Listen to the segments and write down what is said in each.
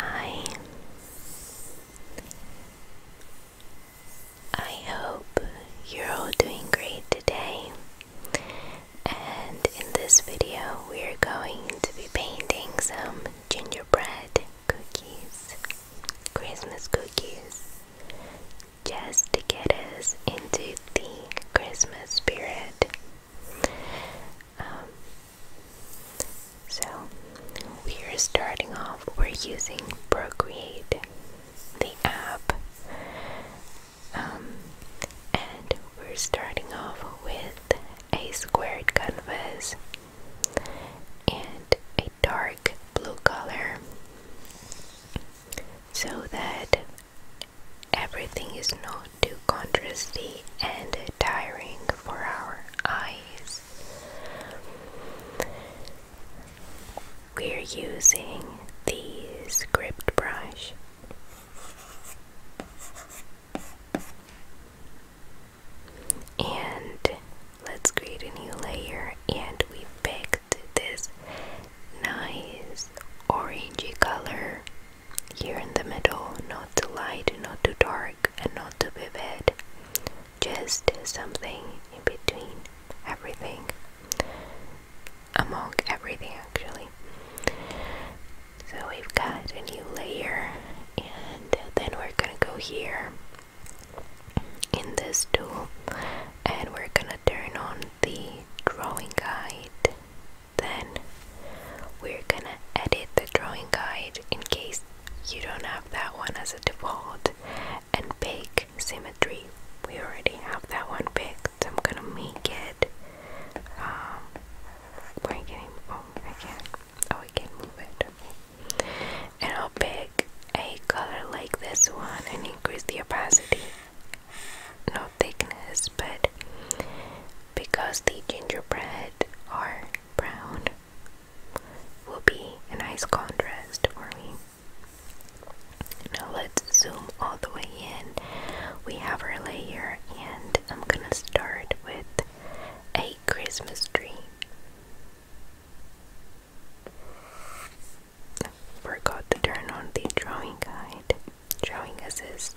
Hi. I hope you're all doing great today. And in this video, we're going to be painting some gingerbread cookies, Christmas cookies, just to get us into the Christmas spirit. Um, so, we're starting off, we're using Procreate, the app, um, and we're starting off with a squared canvas and a dark blue color so that everything is not to contrast the and tiring for our eyes. We're using the script brush. And let's create a new layer and we picked this nice orangey color here in the middle, not too light, not too dark, and not too vivid. Just something in between everything. Among everything, actually. So we've got a new layer, and then we're gonna go here in this tool and we're gonna turn on the drawing guide then we're gonna edit the drawing guide in case you don't have that one as a default and pick symmetry we already have that one picked so I'm gonna make it um where can I oh I can oh I can move it and I'll pick a color like this one and increase the opacity no thickness but because the gingerbread are brown will be a nice contrast for me. Now let's zoom all the way in. We have our layer and I'm gonna start with a Christmas tree. Forgot to turn on the drawing guide, drawing assist.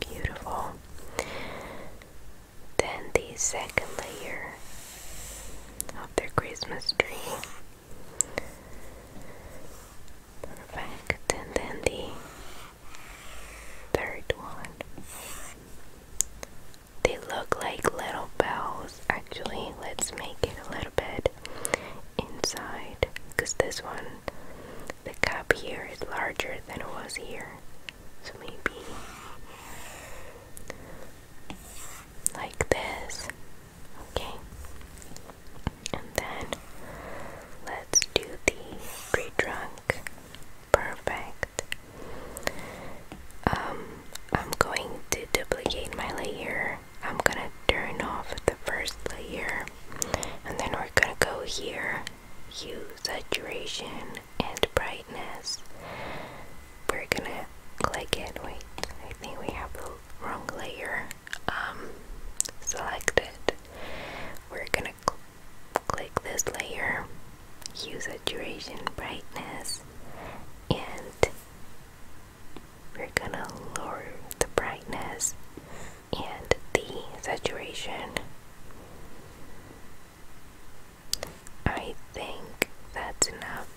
Beautiful. Then the second layer of their Christmas tree. Perfect. And then the third one. They look like little bells, actually. Let's make it a little bit inside because this one the cup here is larger than it was here so maybe like this okay and then let's do the pre-drunk perfect um I'm going to duplicate my layer I'm gonna turn off the first layer and then we're gonna go here hue saturation and brightness we're gonna click it wait I think we have the wrong layer um select it we're gonna click this layer hue saturation brightness and we're gonna lower the brightness and the saturation. I think that's enough.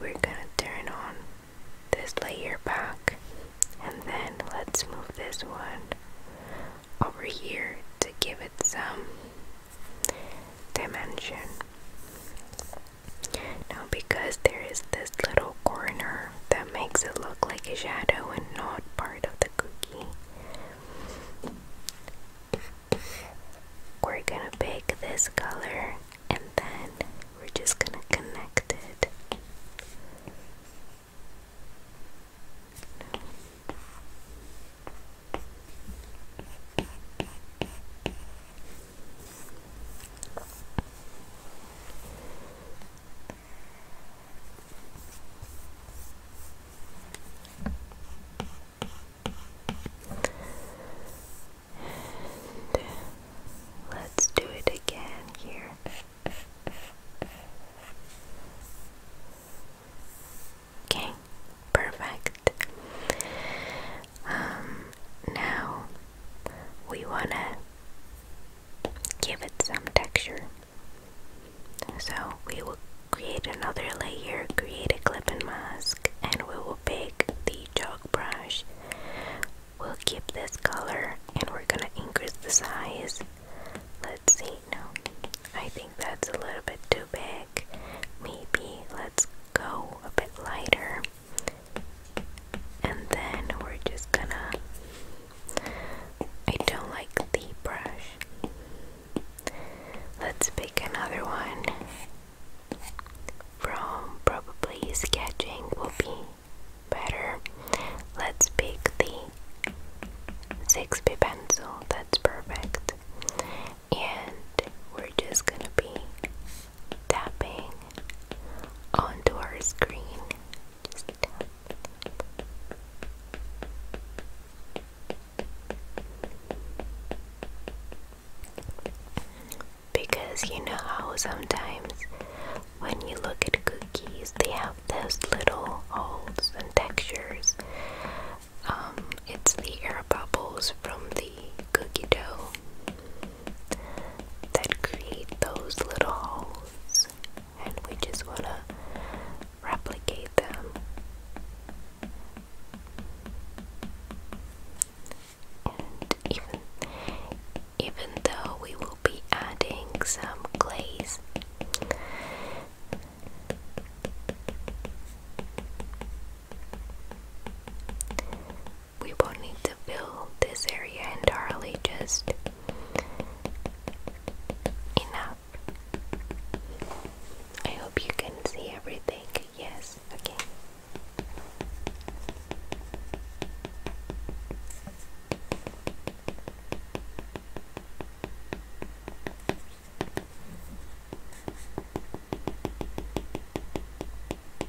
We're gonna turn on this layer back and then let's move this one over here to give it some dimension. Now, because there is this little corner that makes it look like a shadow and not part of the cookie, we're gonna pick this color and then we're just gonna connect it let's do it again here. Okay, perfect. Um, now we want to give it some texture. So we will create another layer, create a clipping mask, and we will pick the dog brush. We'll keep this color and we're gonna increase the size. Let's see, no, I think that's a little bit too big. Maybe let's go a bit lighter and then we're just gonna I don't like the brush let's pick another one from probably sketching will be better let's pick the 6B pencil that's perfect and we're just gonna be tapping onto our screen. Because you know how sometimes when you look at cookies, they have those little holes and textures. Um, it's the air bubbles from the cookie dough that create those little holes, and we just want to replicate them. And even even though we will be adding some glaze, we won't need to fill this area entirely, just enough. I hope you can see everything. Yes, okay.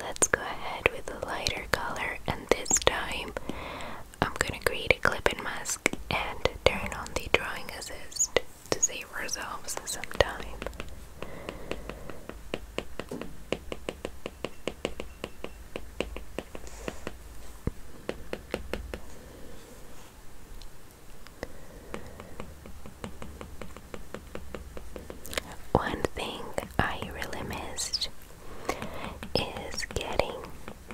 Let's go ahead with a lighter color and this time I'm gonna create a clip-in mask and turn on the drawing assist to save ourselves some time. One thing I really missed is getting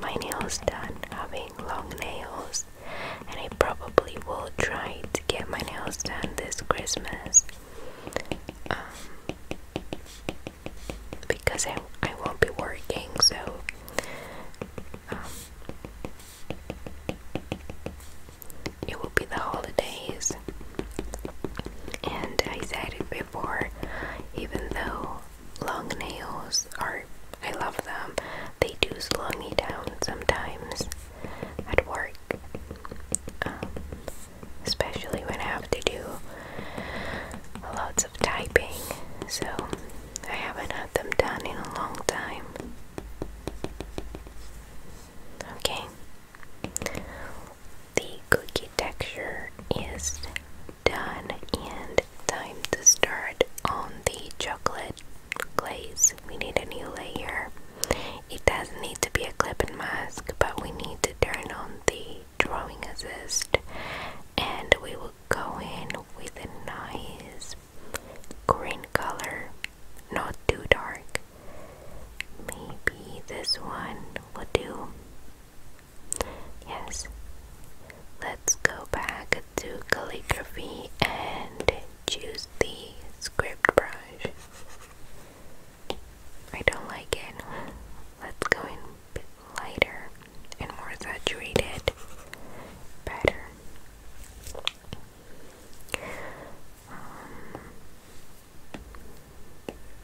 my nails done, having long nails, and I probably will try to get my nails done this Christmas. Um, because I, I won't be working, so um, it will be the holidays, and I said it'd be before, even though long nails are, I love them, they do slow me down sometimes at work. Um, especially when I have to do lots of typing, so I haven't had them done in a long time. Okay, the cookie texture is done and time to start on the chocolate glaze. We need a new layer. It doesn't need to be a clip and mask, but we need to turn on the drawing assist and we will go in with a nice green color, not too dark. Maybe this one will do. Yes. Let's go back to calligraphy and choose the script brush. I don't like it. Let's go in lighter and more saturated. Better. Um,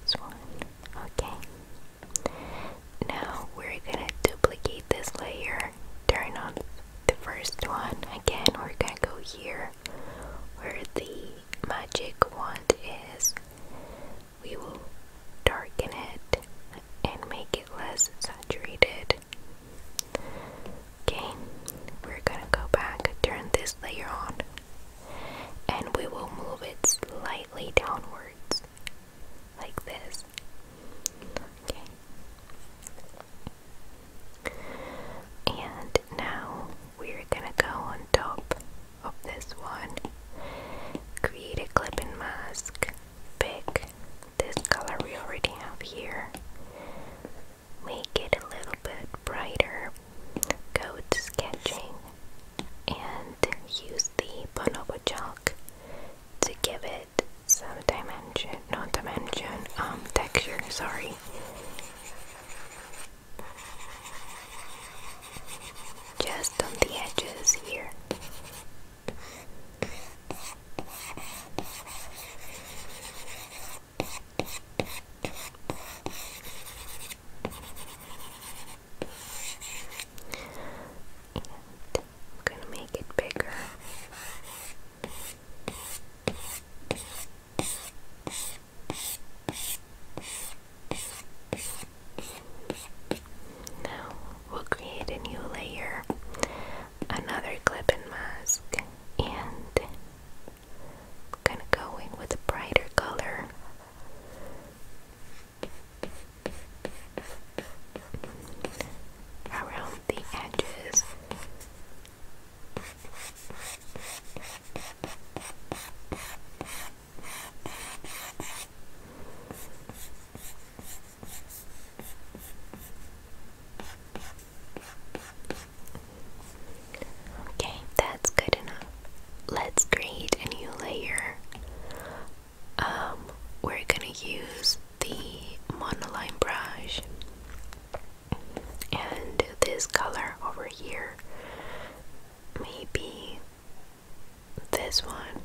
this one. Okay. Now we're gonna duplicate this layer, turn on the first one. Again, we're gonna go here where the magic wand is. We will darken it and make it less saturated. Okay, we're gonna go back, turn this layer on and we will move it slightly downwards like this. Okay. And now we're gonna go on top of this one, create a clipping mask, pick this color we already have here, make it a little bit brighter go to sketching and use the bonobo chalk to give it some dimension, not dimension, um, texture, sorry. Just on the edges here. I'm going to make it bigger. Now we'll create a new layer, another clip and mask, and gonna go in with a brighter color around the edges. Okay, that's good enough. Let's create a new layer. Um, we're gonna use the monoline brush and this color over here. Maybe this one.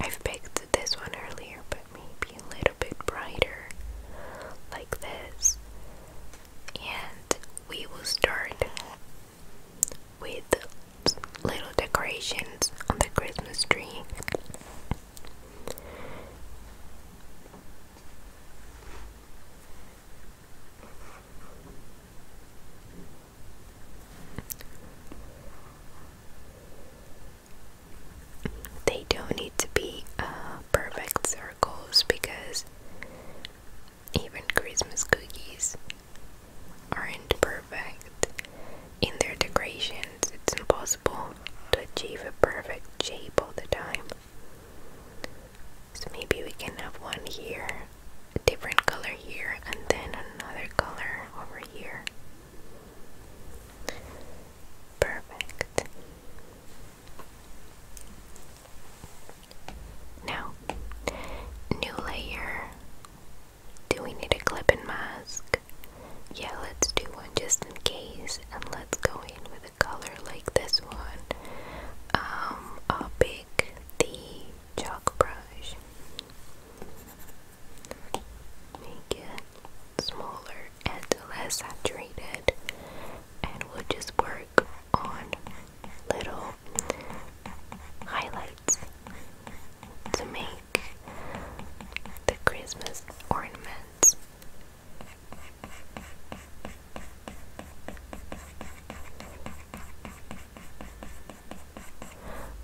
I've picked this one earlier, but maybe a little bit brighter, like this. And we will start with little decorations on the Christmas tree. They don't need to be uh, perfect circles because even Christmas cookies aren't perfect in their decorations. It's impossible to achieve a perfect shape all the time. So maybe we can have one here, a different color here, and then another color over here. Perfect. Now, new layer. Do we need a clip and mask? Yeah, let's do one just in case, and let's go in with a color like this one. Um, I'll pick the chalk brush. Make it smaller and less saturated, and we'll just work on little highlights to make the Christmas ornaments.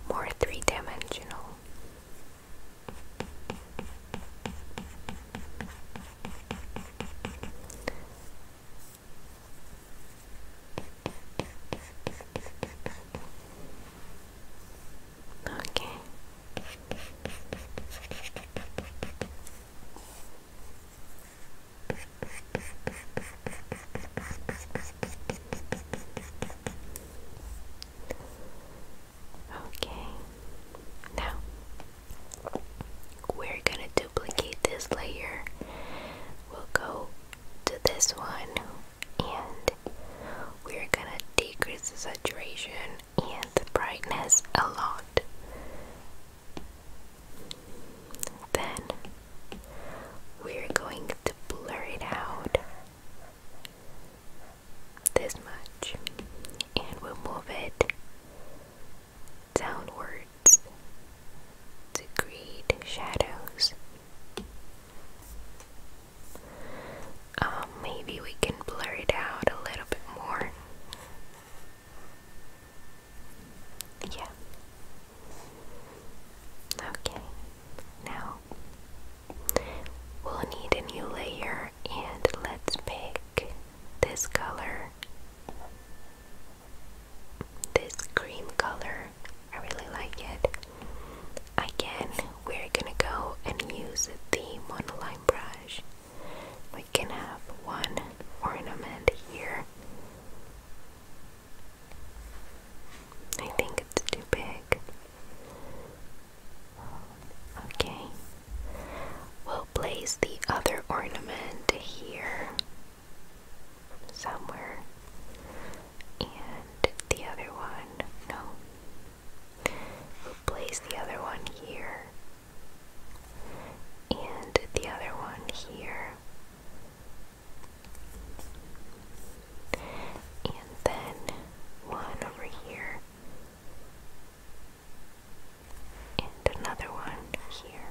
More three dimensional. Okay. Okay. Now we're going to duplicate this layer. We'll go to this one and we're gonna decrease the saturation and brightness a lot. Then we're going to blur it out this much and we'll move it downwards to create shadows. Um, maybe we can blur it out a little bit more. Yeah. Okay, now we'll need a new layer and let's pick this color this cream color. I really like it. Again, we're gonna go and use the monoline brush. We can have one ornament here. I think it's too big. Okay. We'll place the other ornament here somewhere. And the other one, no. place the other one here. And the other one here. And then one over here. And another one here.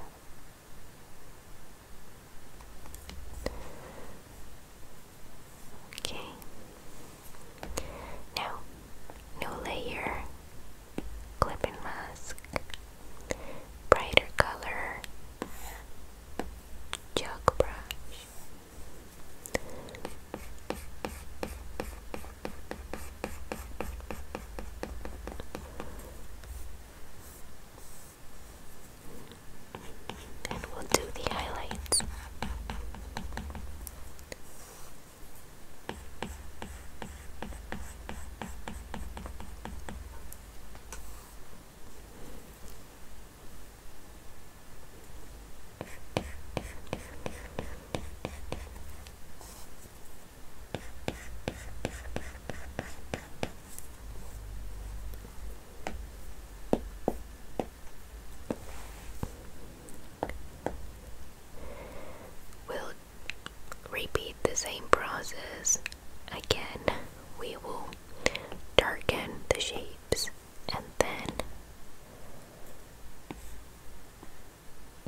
Okay. Now, new layer, clipping mask, brighter color, chalk brush and we'll do the highlights. We'll repeat the same process again. We will darken the shapes and then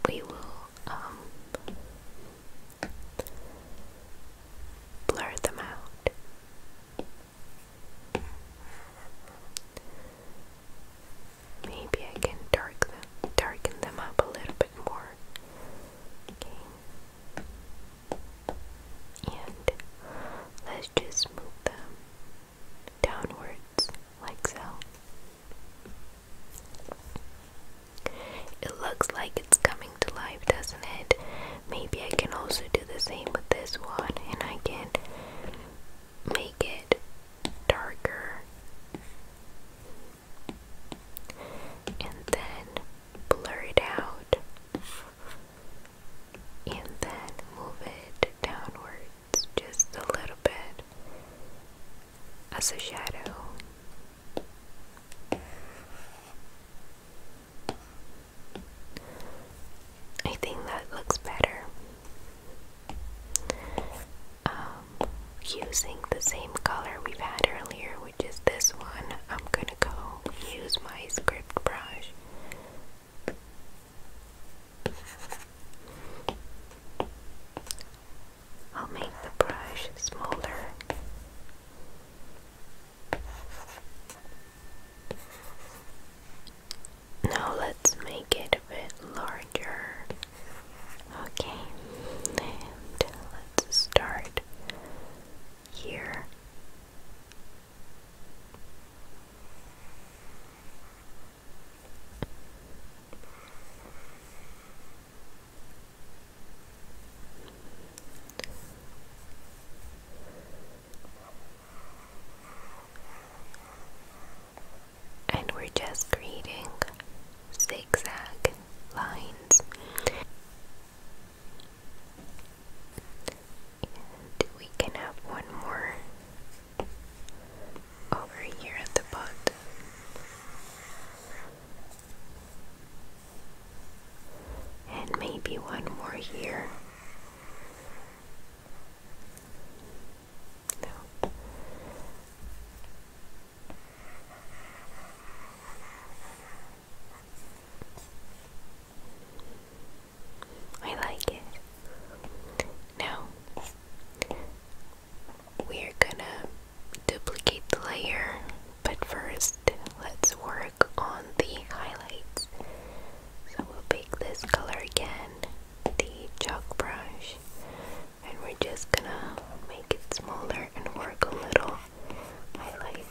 we will um, Blur them out. Maybe I can dark darken them up a little bit more. And let's just move them downwards like so. It looks like it's coming to life, doesn't it? Maybe I can also do the same with this one and I can make it darker and then blur out and then move it downwards just a little bit as a shadow. I think that looks better. Um, using the same color we've had earlier, which is this one, I'm gonna go use my script brush. I'll make the brush smaller. Now let's make it a bit larger. Okay, and let's start here. And we're just creating zigzag lines. And we can have one more over here at the bottom and maybe one more here. No. I like it. Now we're gonna duplicate the layer, but first let's work on the highlights. So we'll pick this color again, the chalk brush, and we're just gonna make it smaller and work a little highlights.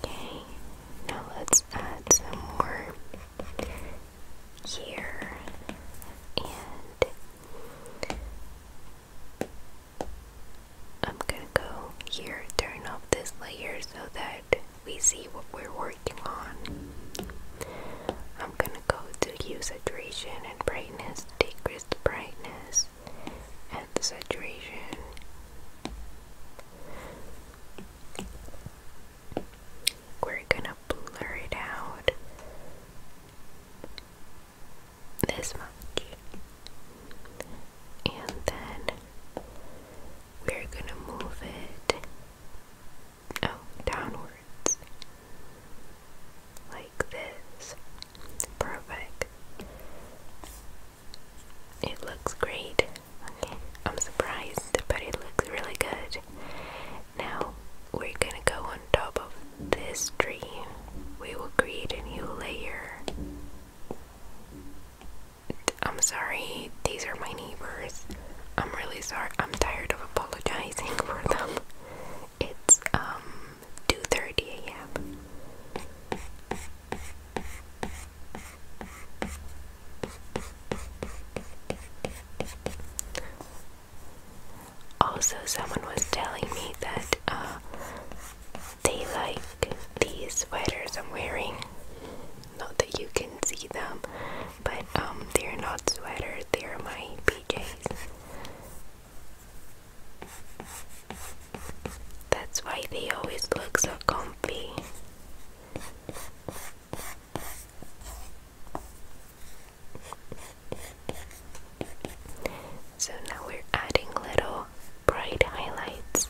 Okay, now let's add some more here and I'm gonna go here, turn off this layer so that we see what we're working on. I'm gonna go to hue saturation and bring decrease the brightness and the saturation. We're gonna blur it out this much, and then we're gonna move it oh downward. Like this. Perfect. It looks great. I'm surprised, but it looks really good. Now we're gonna go on top of this tree. We will create a new layer. I'm sorry, these are my neighbors. I'm really sorry. I'm tired of apologizing for them. It's um 2:30 a.m. Also, someone was telling me that uh, they like these sweaters I'm wearing. Not that you can see them, but um, they're not sweaters, they're my PJs. That's why they always look so comfy. So now we're adding little bright highlights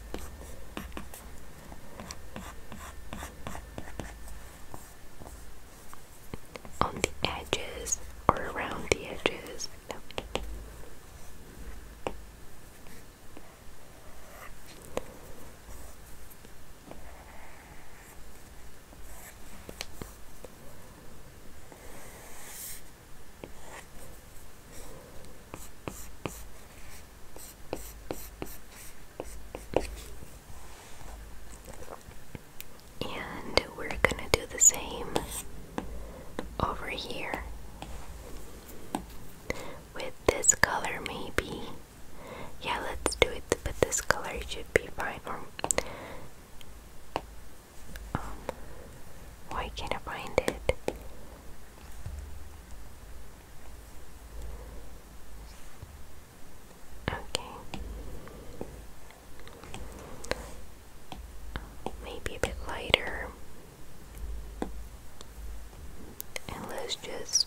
on the edges or around the edges and we're gonna do the same over here with this color maybe yeah let's do it but this color should be fine or um, why can't I find it? Okay maybe a bit lighter. And let's just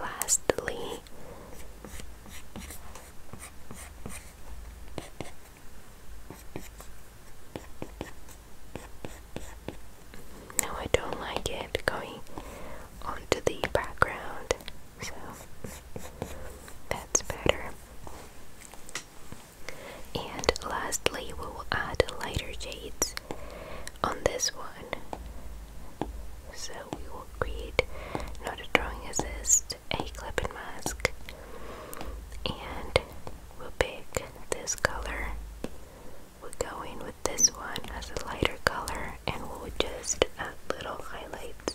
Lastly, no, I don't like it going onto the background so that's better. And lastly, we will add lighter shades on this one. So we will create not a drawing assist, a clipping mask, and we'll pick this color. we are going with this one as a lighter color, and we'll just add little highlights.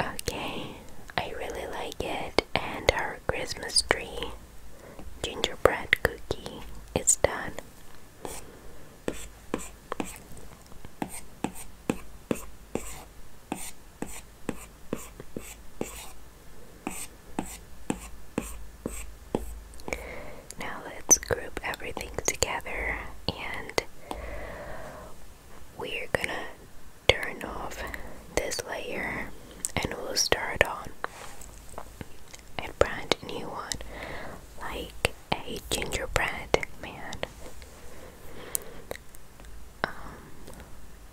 Okay, I really like it, and our Christmas tree gingerbread cookie it's done. Now let's group everything together and we're gonna turn off this layer and we'll start on a brand new one like a gingerbread man. Um,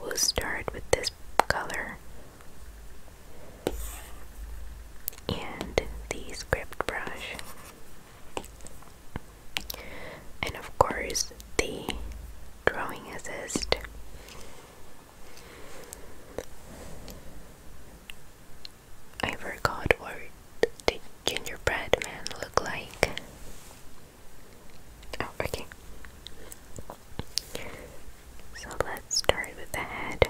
we'll start with this color and the script brush and of course the drawing assist I forgot what the gingerbread man look like oh, okay so let's start with the head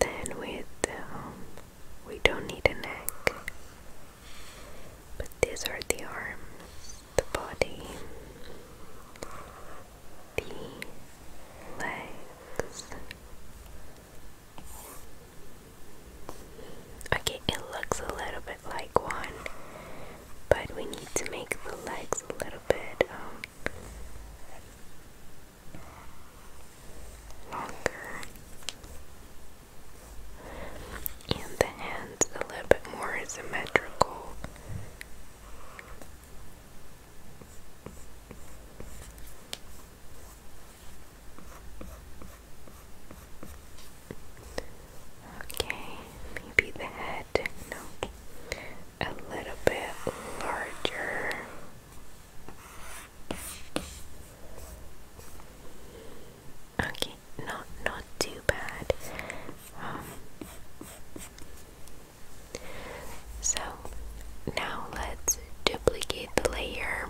then with um, we don't need a neck, but these are the arms, the body, the legs. Okay, it looks a little bit like one, but we need to make the legs a little bit um, longer and the hands a little bit more symmetrical. Okay, maybe the head, no, a little bit larger. Okay, not not too bad. Um, so now let's duplicate the layer.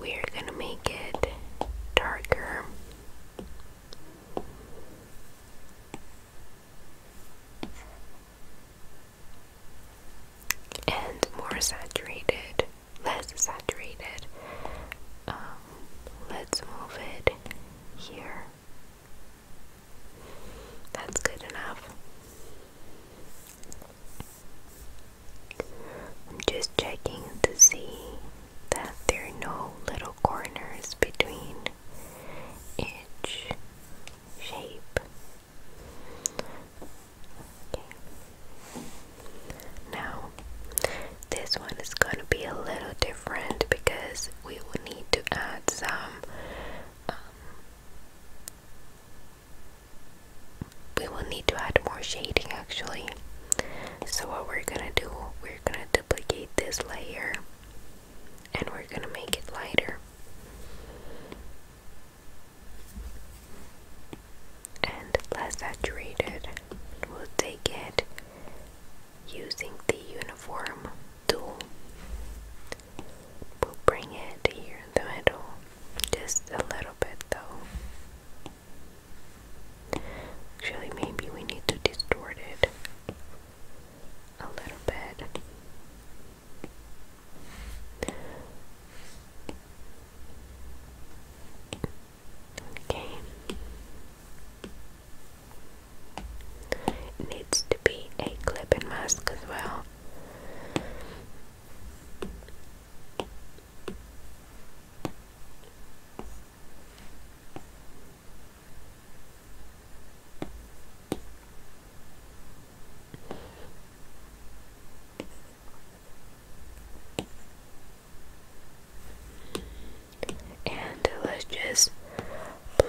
We're gonna make it darker and more saturated, less saturated. Um, let's move it here. That's good enough. I'm just checking to see that there are no little corners between each shape. Now, this one is going to be a little different because we will need to add some. Um, we will need to add more shading actually so what we're gonna do, we're gonna duplicate this layer and we're gonna make it lighter. And less saturated. We'll take it using the uniform tool. We'll bring it here in the middle. Just a little bit though. Actually, maybe we need to distort it a little bit. Okay. needs to be a clip and mask as well. And let's just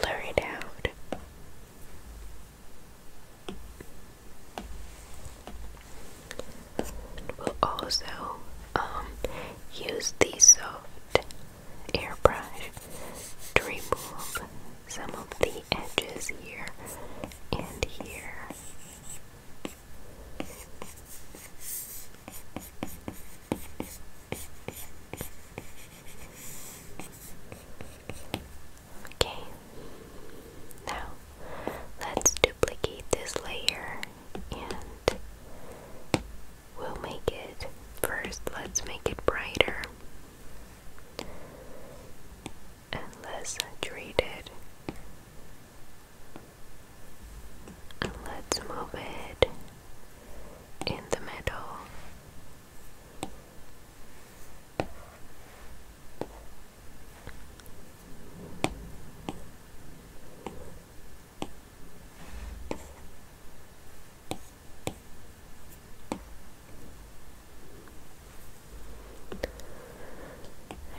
blur it out. We'll also um, use the soft airbrush to remove some of the edges here and here. Okay, now let's duplicate this layer and we'll make it first let's make it brighter and less saturated and let's move it in the middle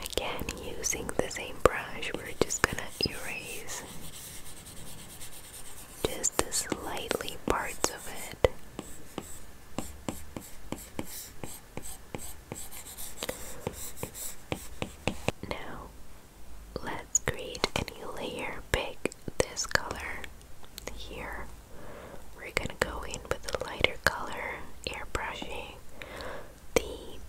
Again, using the same brush, we're just gonna erase just the slightly parts of it. Now, Let's create a new layer, pick this color here. We're gonna go in with a lighter color, airbrushing. The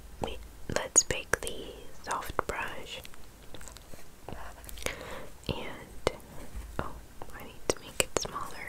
let's pick the soft brush. And oh, I need to make it smaller.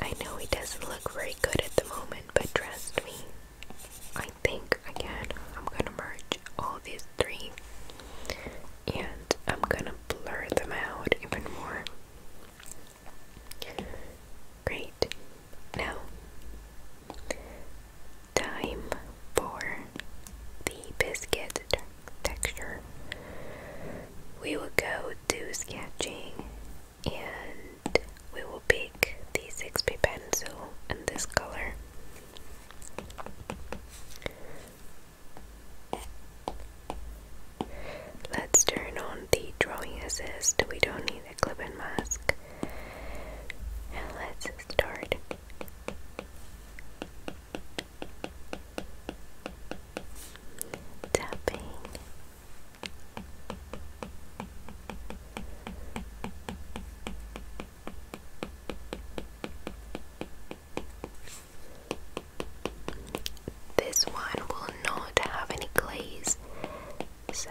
I know he doesn't look very good at the moment, but trust me, I think again I'm gonna merge all these three and I'm gonna blur them out even more. Great. Now, time for the biscuit texture. We will go to sketching and we will pick the 6p pencil in this color let's turn on the drawing assist we don't need a clip and mask and let's start tapping this one will not have any glaze, so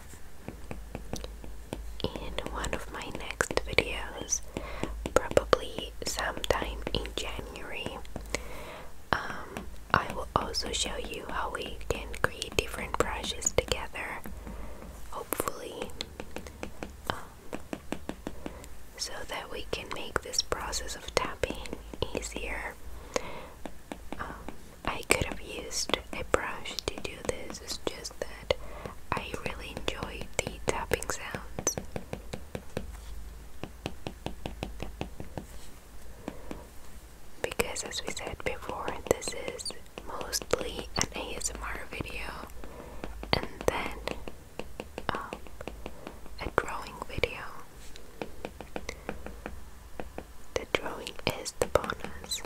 in one of my next videos, probably sometime in January. Um, I will also show you how we can create different brushes together, hopefully, um, so that we can make this process of tapping easier. Um, I could have used a brush to do this difference is just that I really enjoy the tapping sounds. Because, as we said before, this is mostly an ASMR video and then um, a drawing video. The drawing is the bonus.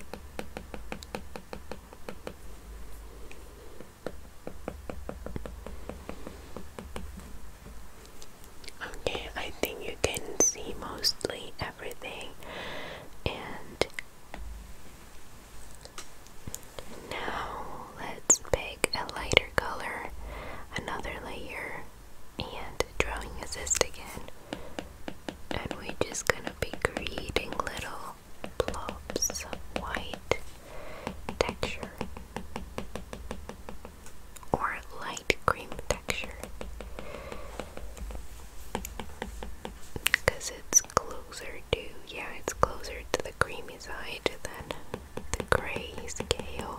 Okay, I think you can see mostly everything, and now let's pick a lighter color, another layer, and drawing assist again. And we're just gonna be creating little blobs of white texture or light cream texture because it's closer to, yeah, it's closer to the creamy side than the gray scale.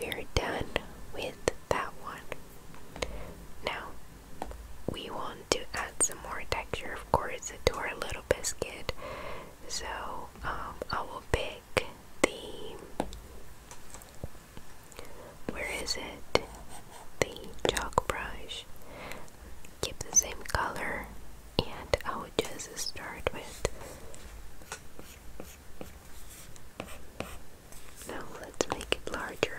we're done with that one. Now, we want to add some more texture, of course, to our little biscuit. So, um, I will pick the. Where is it? The chalk brush. Keep the same color, and I will just start with now let's make it larger.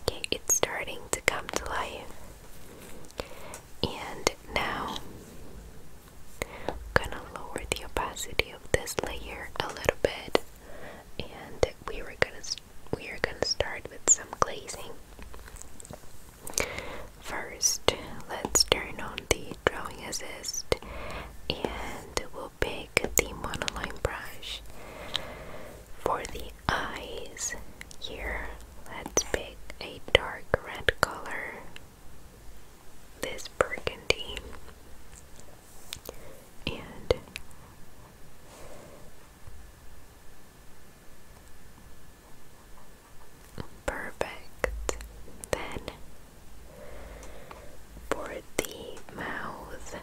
Okay, it's starting to come to life. And now I'm gonna lower the opacity of this layer a little bit and we were gonna we are gonna start with some glazing. First, let's turn on the drawing assist and we'll also pick the monoline brush. For the eyes, here let's pick a dark red color, this burgundy, and Perfect. Then for the mouth,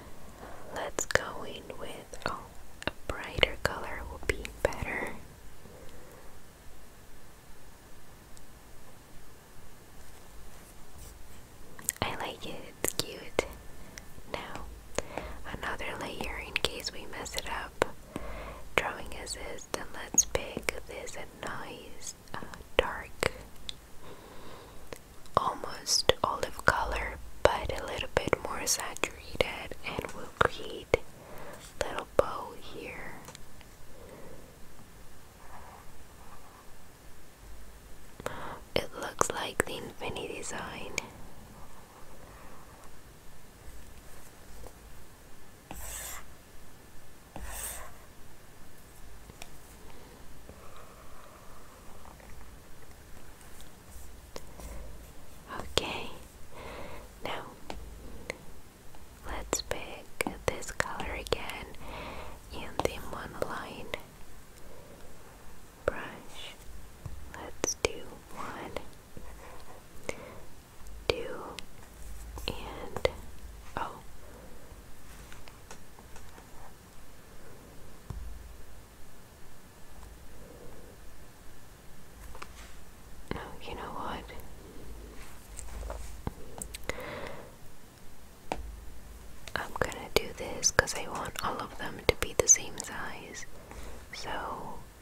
Let's go in with oh, a brighter color will be better. I like it, it's cute. Now, another layer in case we mess it up. Drawing assist, and let's pick this a nice uh, dark almost olive color but a little bit more saturated and we will create little bow here it looks like the infinity design Okay, now let's pick this color again in the monoline brush. Let's do one, two, and oh you know what? I'm gonna do this because I want all of them to be the same size. So,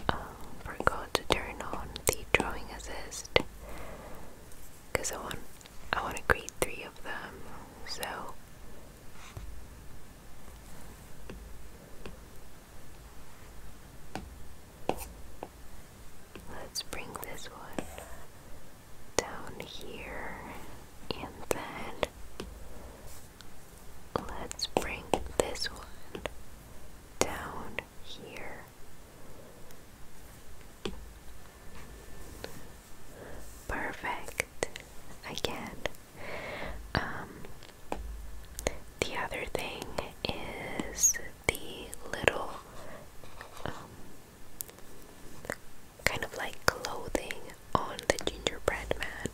um, forgot to turn on the drawing assist because I want I want to create three of them. So Let's bring this one down here and then let's bring this one down here. Perfect again. Um, the other thing is the little um, kind of like clothing on the gingerbread man.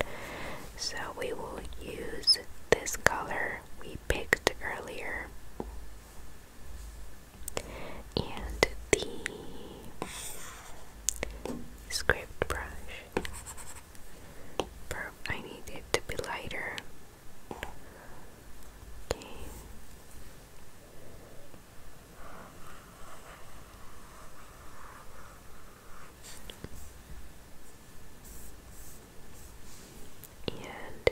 So we will use this color we picked earlier. And the script brush. I need it to be lighter. Okay. And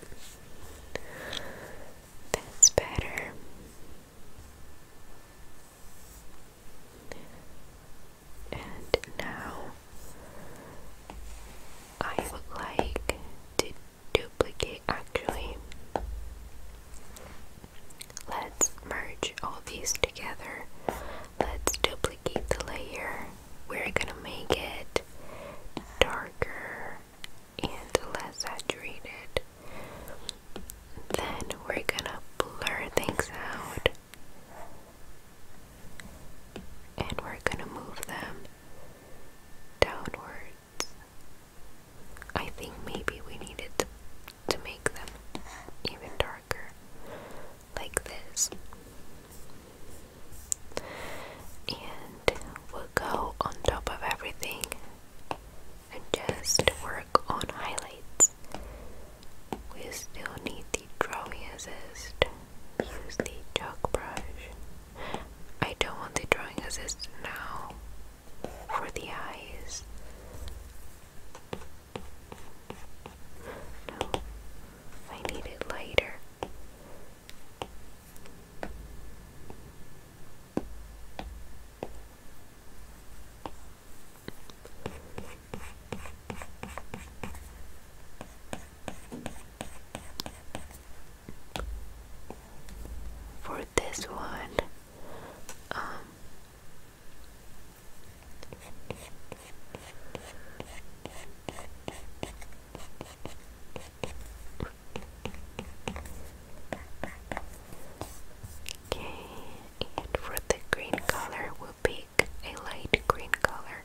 that's better. And now I would like to duplicate actually. Let's merge all these together. Let's duplicate duplicate the layer, we're gonna make it darker and less saturated. Then we're gonna blur things out and we're gonna move them downwards. I think maybe we needed to, to make them even darker like this. And we'll go on top of everything and just work on highlights. We still need the drawing assist. Use the chalk brush. I don't want the drawing assist now for the eyes. No, I need it lighter. For this one, um, Okay, and for the green color, we'll pick a light green color.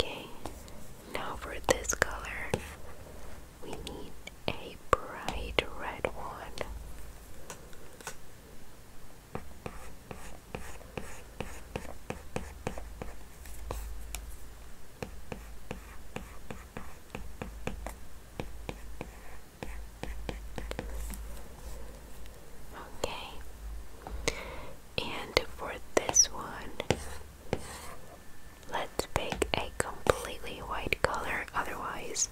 Okay, now for this color, we need a bright red one. Okay. And for this one, let's pick a completely white color, otherwise.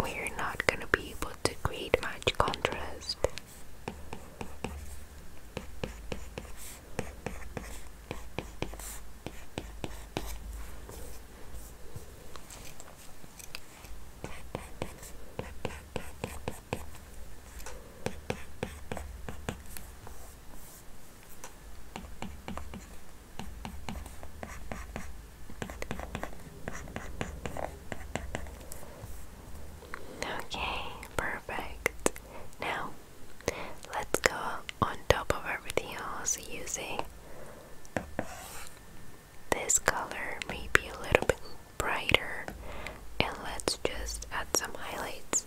We're not going to be able to create much contrast. Okay, perfect. Now let's go on top of everything else using this color, maybe a little bit brighter, and let's just add some highlights.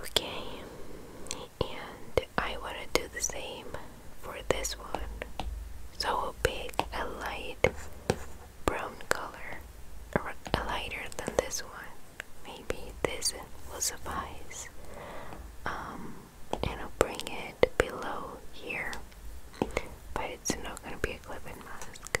Okay, and I want to do the same for this one. So we'll pick a light brown color, or a lighter than this one. Maybe this will suffice. Um, and I'll bring it below here, but it's not gonna be a clip mask.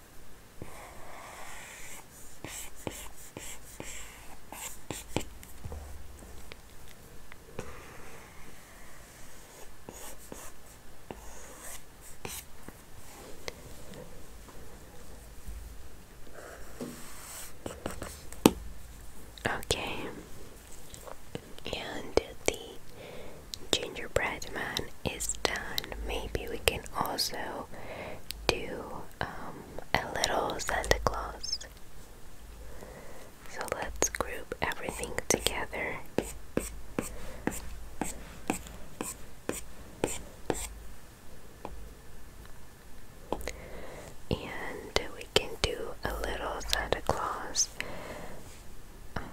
Okay, and the gingerbread man is done, maybe we can also do um, a little Santa Claus. So let's group everything together. And we can do a little Santa Claus. Um,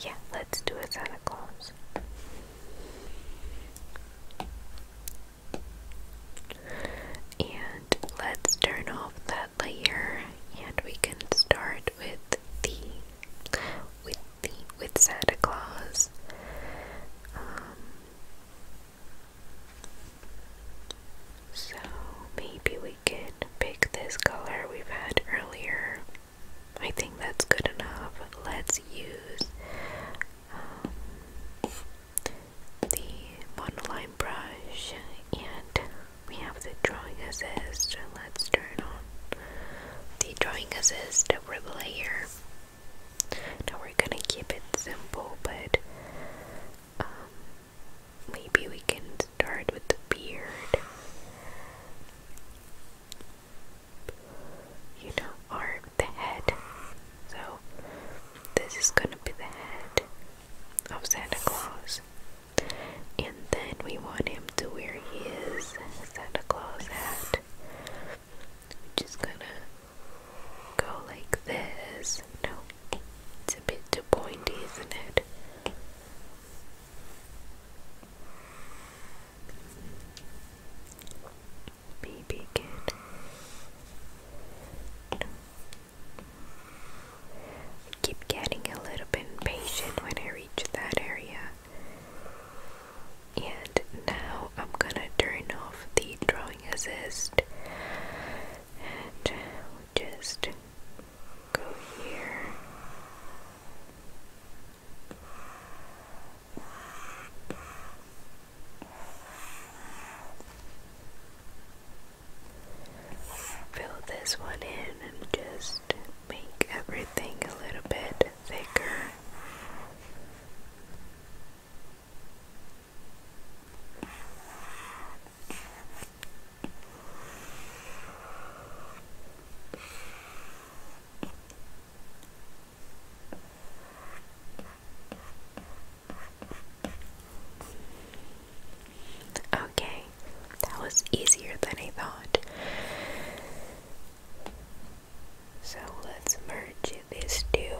yeah, let's do a Santa Claus. And let's turn off that layer and we can start with the with Santa Claus. Um, so maybe we can pick this color we've had earlier. I think that's good enough. Let's use um, the monoline brush and we have the drawing assist. Let's turn on the drawing assist over layer now we're gonna keep it simple, but um, maybe we can start with the beard. You know, or the head. So this is gonna be the head of Santa Claus. And then we want him to wear his Santa Claus hat. We're just gonna go like this. No, it's a bit too pointy, isn't it? Maybe keep getting a little bit impatient when I reach that area. And now I'm gonna turn off the drawing assist and just go here. Fill this one in and just make everything a little bit bit thicker. Okay, that was easier than I thought. So let's merge these two,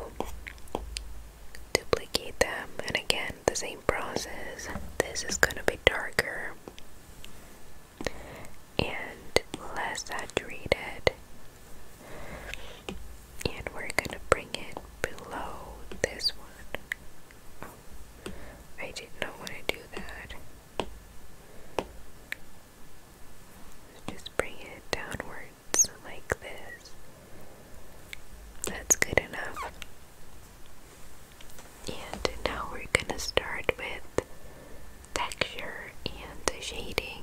duplicate them, and again, the same process. This is gonna be darker and less saturated, and we're gonna bring it below this one. Oh, I did not want to do that. Just bring it downwards like this. That's good enough. And now we're gonna start with texture and shading.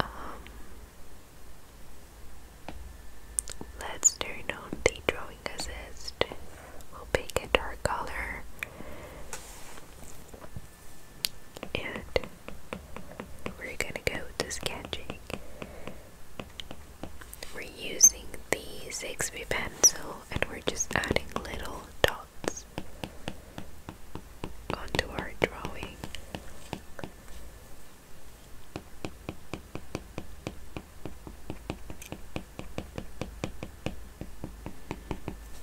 Um, let's turn on the drawing assist. We'll pick a dark color and we're gonna go to sketching. We're using the Zixby pencil and we're just adding little dots onto our drawing.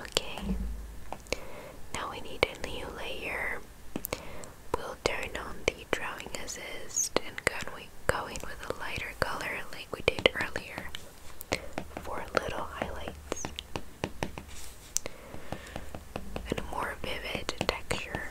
Okay, now we need a new layer We'll turn on the drawing assist and go in with a lighter color like we did earlier for little highlights and a more vivid texture.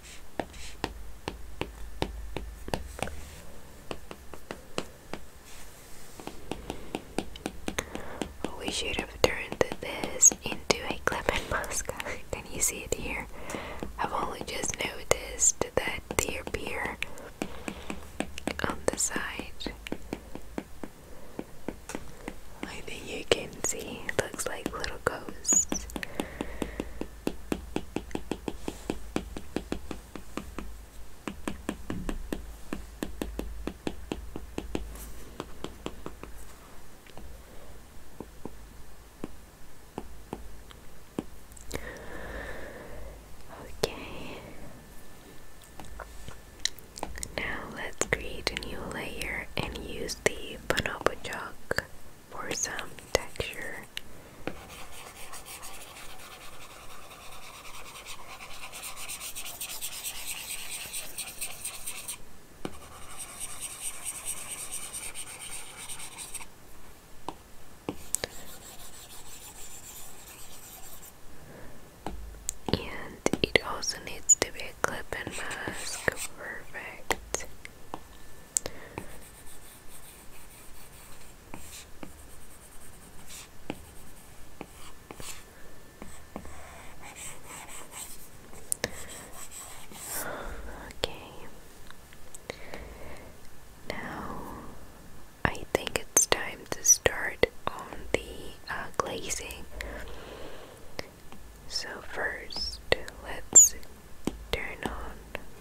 Oh, we should have turned this into a clip mask. Can you see it here? I've only just noticed that they appear on the side. I think you can see, It looks like little ghosts. Okay. Now let's create a new layer and use the bonobo chalk for some texture. And it also needs to be a clip and mask perfect. Okay. Now I think it's time to start on the uh, glazing. So, first, let's Turn on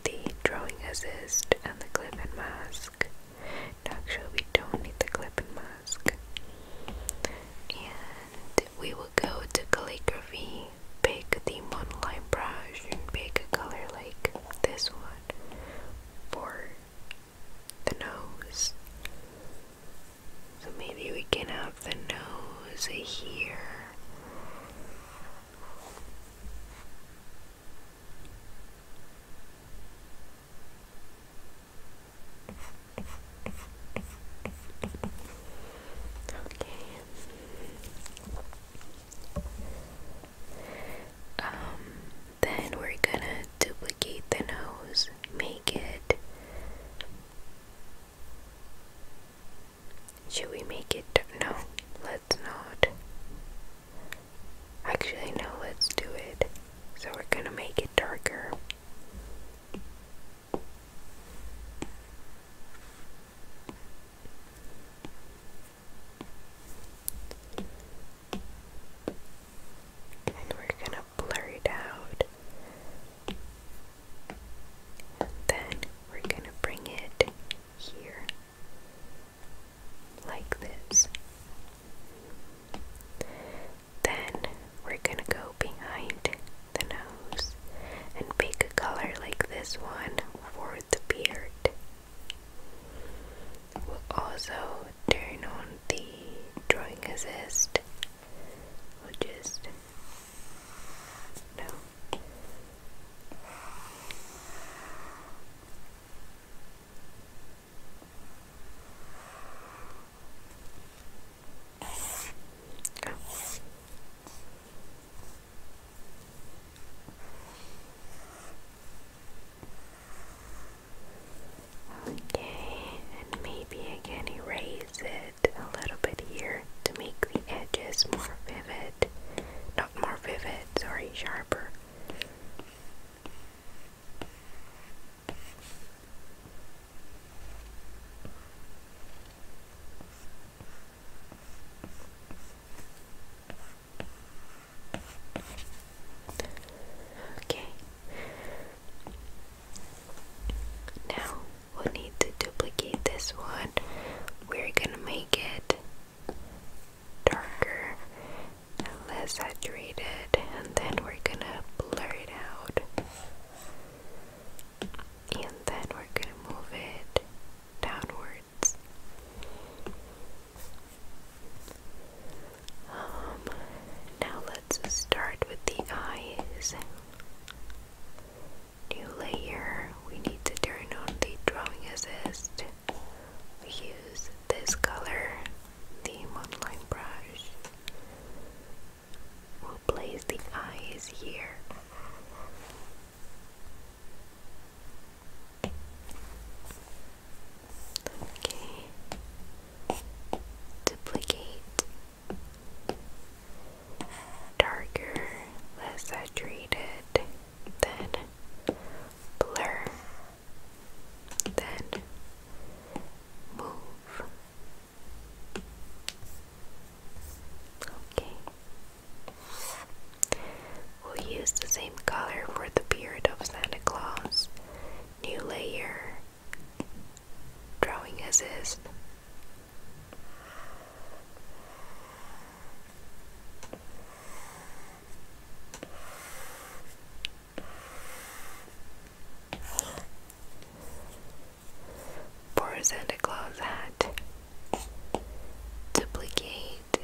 the drawing assist and the clip and mask. actually, we don't need the clip and mask. And we will go to calligraphy, pick the monoline brush, and pick a color like this one for the nose. So maybe we can have the nose here. Um, then we're gonna duplicate the nose, make it should we make it? No, let's not. Actually, no, let's do it. So we're gonna make it darker. And we're gonna blur it out. then we're gonna bring it here, like this. Then we're gonna go behind the nose and pick a color like this one for the beard. We'll also turn on the drawing assist. We'll just no. Okay, and maybe I can erase it a little bit here to make the edges more vivid more vivid, sorry, sharper. Okay. Now we need to duplicate this one. We're gonna make it darker and less saturated, and then we're gonna blur it out, and then we're gonna move it downwards. Um, now let's start with the eyes. New layer, we need to turn on the drawing assist. We use this color, the monoline brush. We'll place the eyes here. Okay. Duplicate. Darker, less saturated then blur, then move. Okay. We'll use the same color for the beard of Santa Claus. New layer. Drawing assist. Poor Santa Claus hat. Duplicate.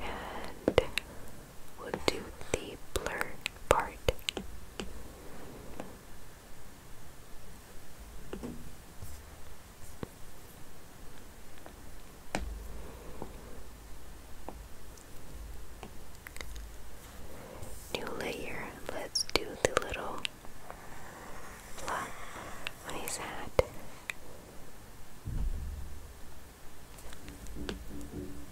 And we do the blur part. New layer, let's do the little flat on his hat.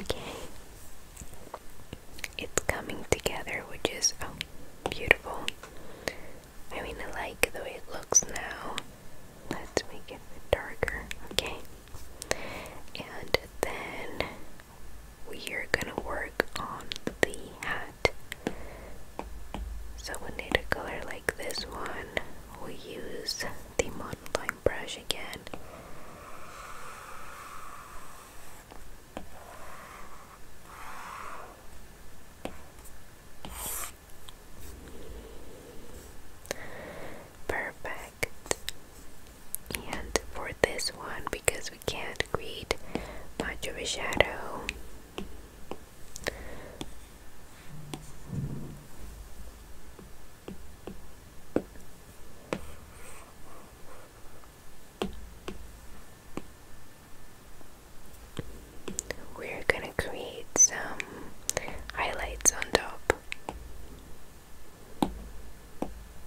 Okay. It's coming together, which is oh, beautiful. I mean, I like the way it looks now. Let's make it darker, okay? And then we are gonna work on the hat. So we need a color like this one. We use the model brush again. Perfect and for this one because we can't create much of a shadow we're gonna create some highlights on top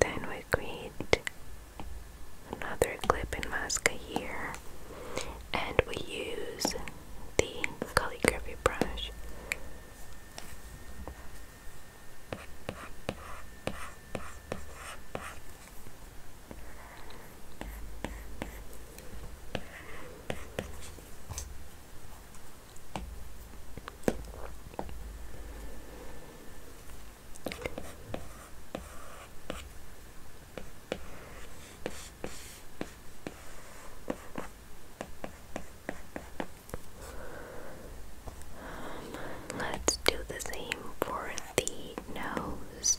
Then we create another clip and mask here and we use the calligraphy brush let's do the same for the nose.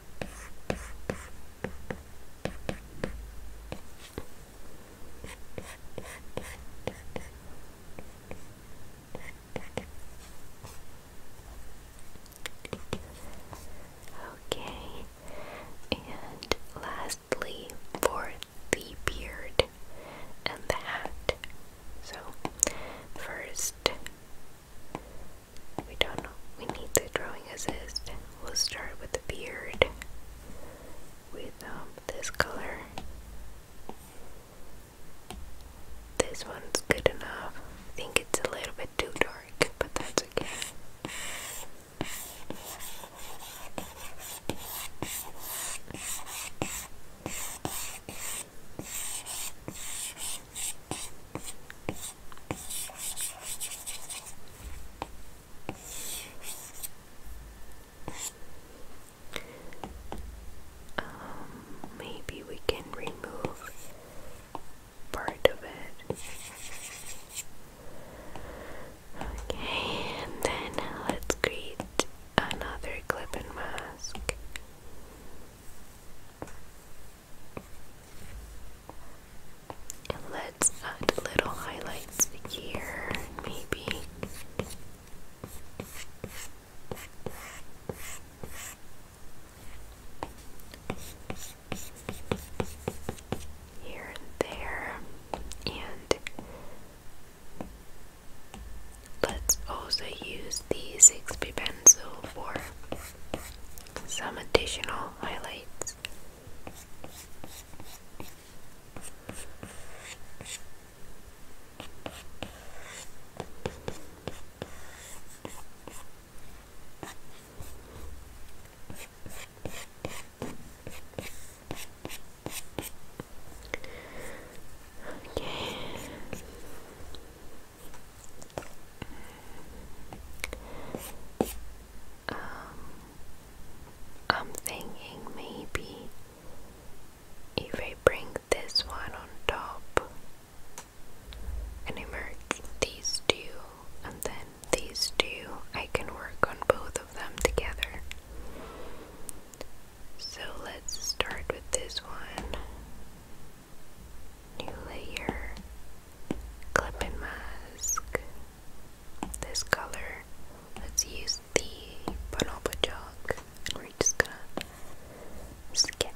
Okay, and lastly, for the beard and the hat. So, first we don't know. We need the drawing assist. We'll start with the beard. With um, this color. This one's good enough. I think it's a little bit too dark, but that's okay. Um, maybe we can remove part of it. Okay, and then let's create another clip and mask let's add little highlights here, maybe. Here and there, and let's also use the 6p pencil for some additional highlights. Okay. Um, I'm thinking maybe if I bring this one on top and I these two, and then these two, I can work on both of them together. So let's start with this one. New layer, clip and mask. This color, let's use the bonobo chalk, and we're just gonna sketch.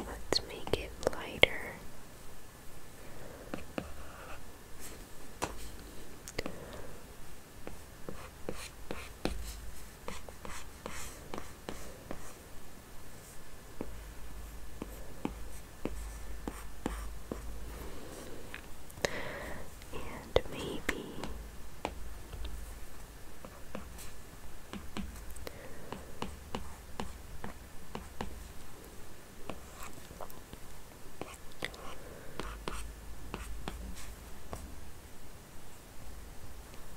Let's make it lighter and maybe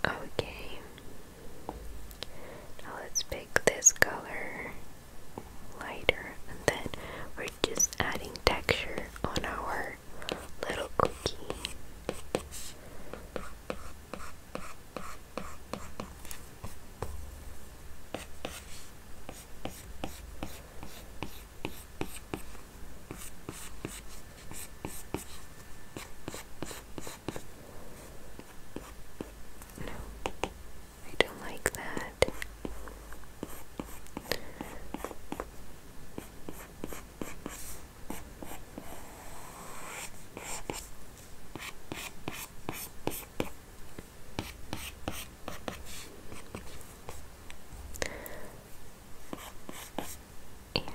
Okay. Now let's pick this color lighter then we're just adding texture on our little cookie. No, I don't like that. And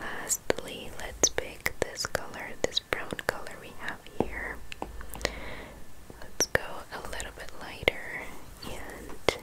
lastly, let's pick this color, this brown color we have here. Let's go a little bit lighter and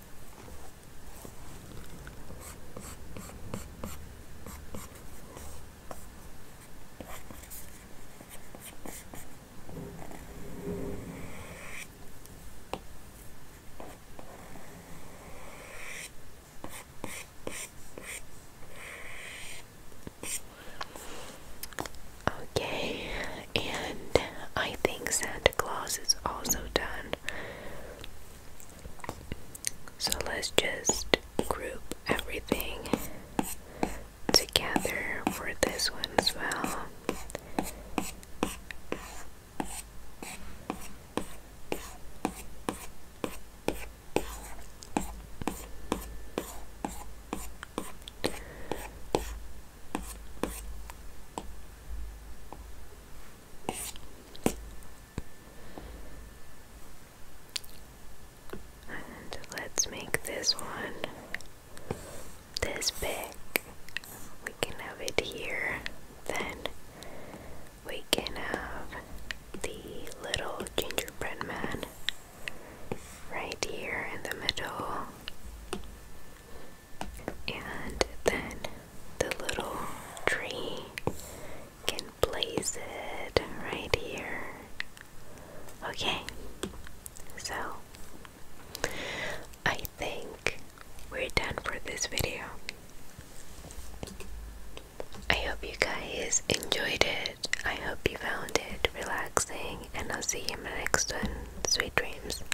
Okay, and I think Santa Claus is also done so let's just group everything together for this one as well. And let's make this one this big. We can have it here. Then we can have the little gingerbread man right here in the middle. And then the little tree can place it right here. Okay, so I think we're done for this video. I hope you guys enjoyed it. I hope you found it relaxing, and I'll see you in my next one. Sweet dreams.